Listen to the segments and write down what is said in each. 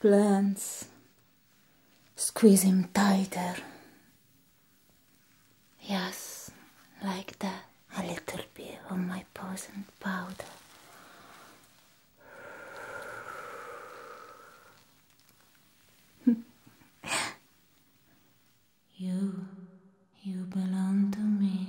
Plants squeeze him tighter. Yes, like that. A little bit of my poison powder. you, you belong to me.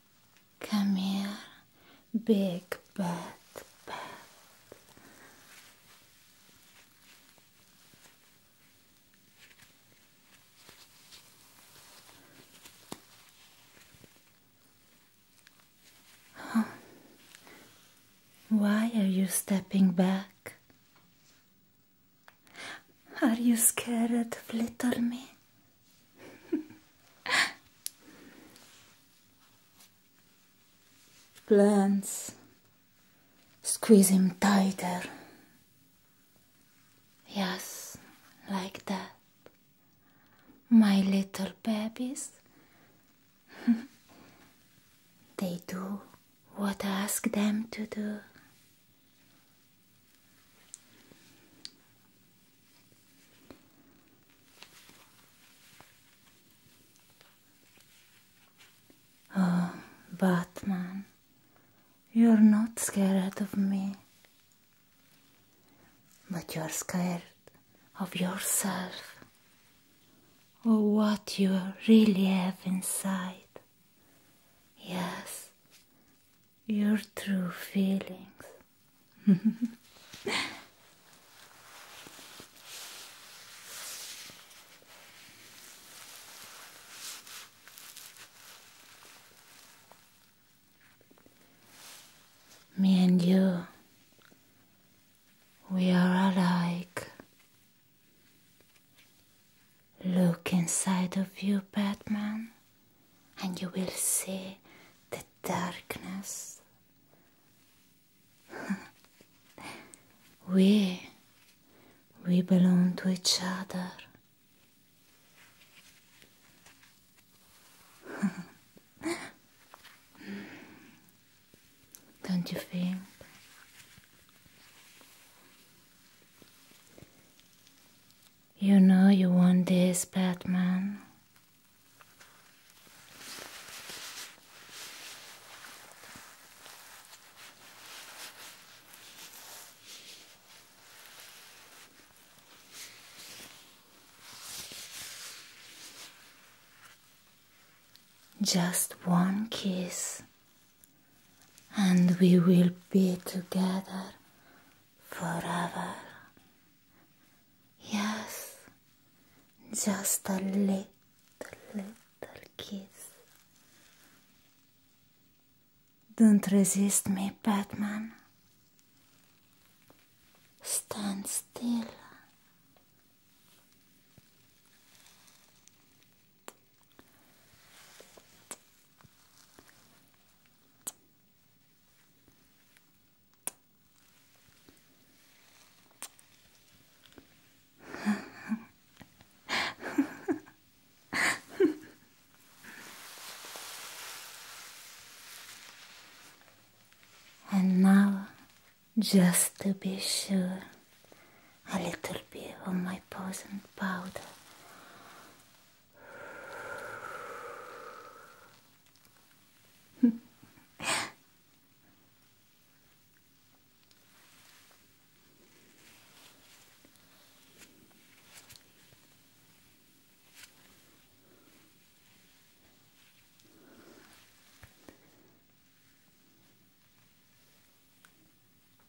Come here, big bat, bat. Why are you stepping back? Are you scared little me? Plants squeeze him tighter. Yes, like that. My little babies. they do what I ask them to do. Ah, Batman, you're not scared of me, but you're scared of yourself or oh, what you really have inside. Yes, your true feelings. Me and you, we are alike. Look inside of you, Batman, and you will see the darkness. we, we belong to each other. Don't you think? You know you want this, Batman. Just one kiss and we will be together forever. Yes, just a little, little kiss. Don't resist me, Batman. Stand still. and now, just to be sure a little bit of my poison powder.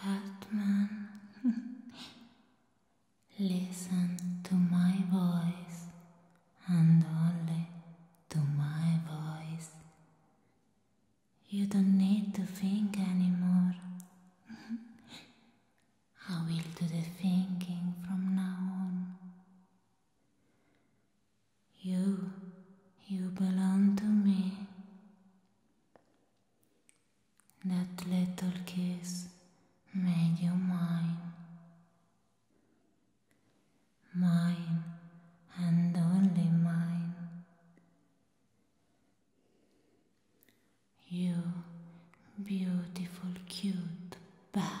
Batman, listen to my voice and only to my voice. You don't need to think anymore. I will do the thinking from now on. You, you belong to me that little kiss made you mine. Mine and only mine. You beautiful, cute bat.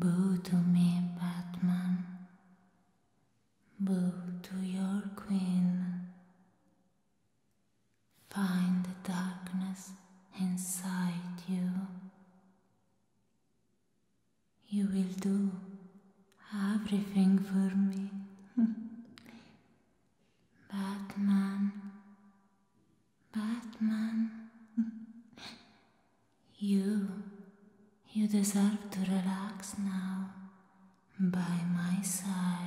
Budu mi Batman, budu your queen. Find the darkness inside you. You will do everything for me. Batman. Batman. You, you deserve to relax now by my side.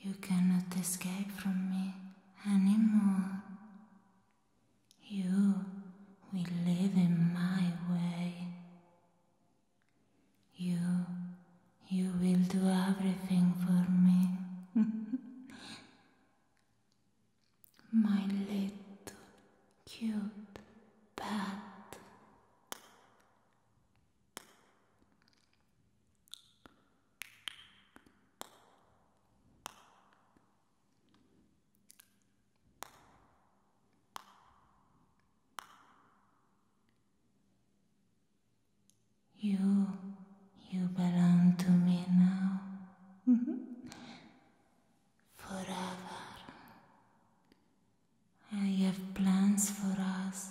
You cannot escape from me anymore. You will live in my way. You, you will do everything for me. my little cute. You, you belong to me now. Mhm. Forever. I have plans for us.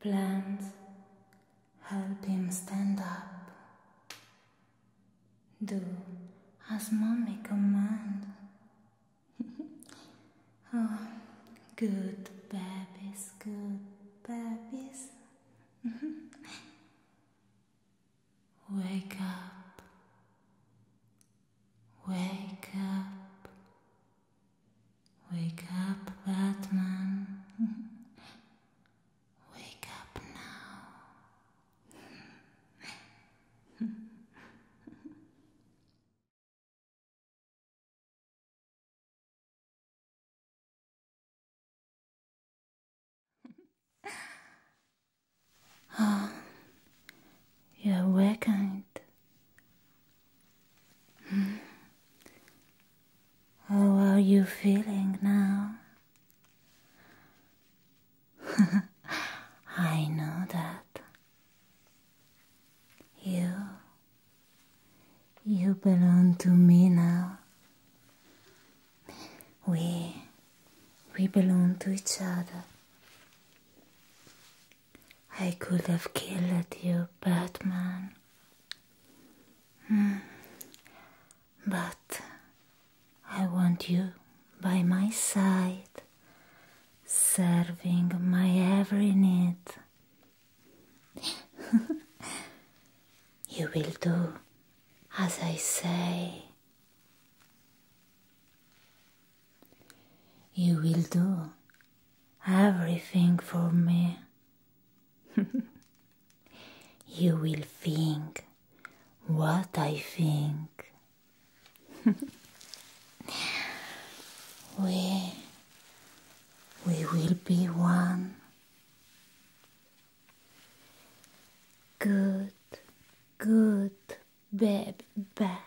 Plants help him stand up. Do as mommy command. oh, good babies, good babies. Wake up. Wake up. Wake up, Batman. Wake up now. oh, you're awakened. Hmm. Oh, how are you feeling now? I know that. You. You belong to me now. We. We belong to each other. I could have killed you, Batman. Hmm. But I want you by my side, serving my every need. you will do as I say. You will do everything for me. you will think what I think. we, we will be one. Good, good, baby bat.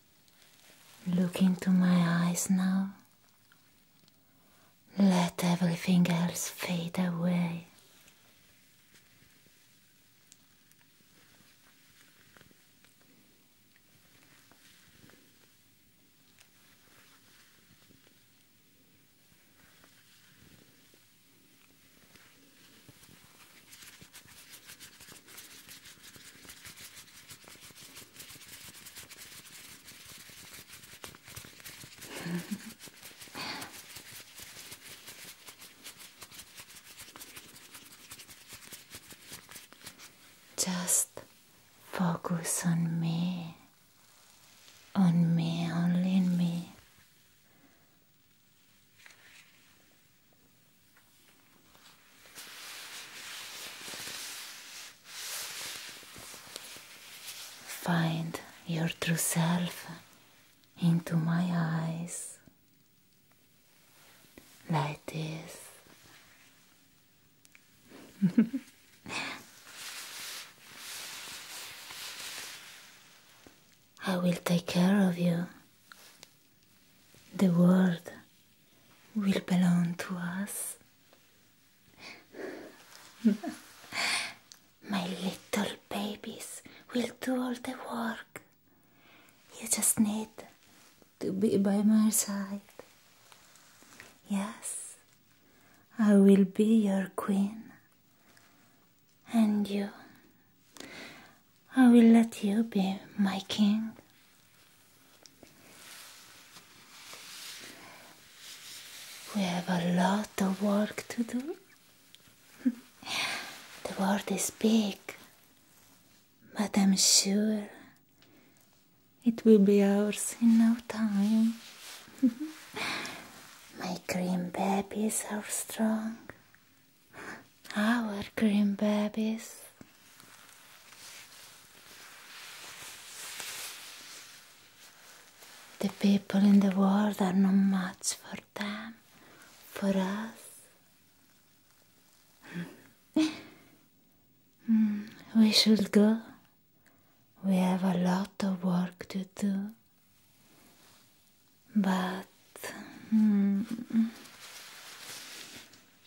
Look into my eyes now. Let everything else fade away. Just focus on me, on me, only me. Find your true self into my eyes like this. I will take care of you the world will belong to us. My little babies will do all the work. You just need to be by my side. Yes, I will be your queen. And you I will let you be my king. We have a lot of work to do. the world is big, but I'm sure it will be ours in no time. my green babies are strong our green babies. The people in the world are not much for them, for us. Hmm. Hmm. we should go. We have a lot of work to do. But. Hmm.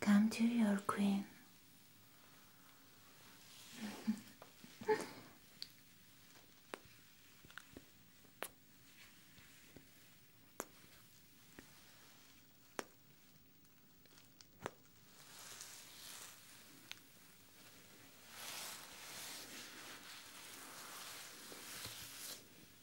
Come to your queen.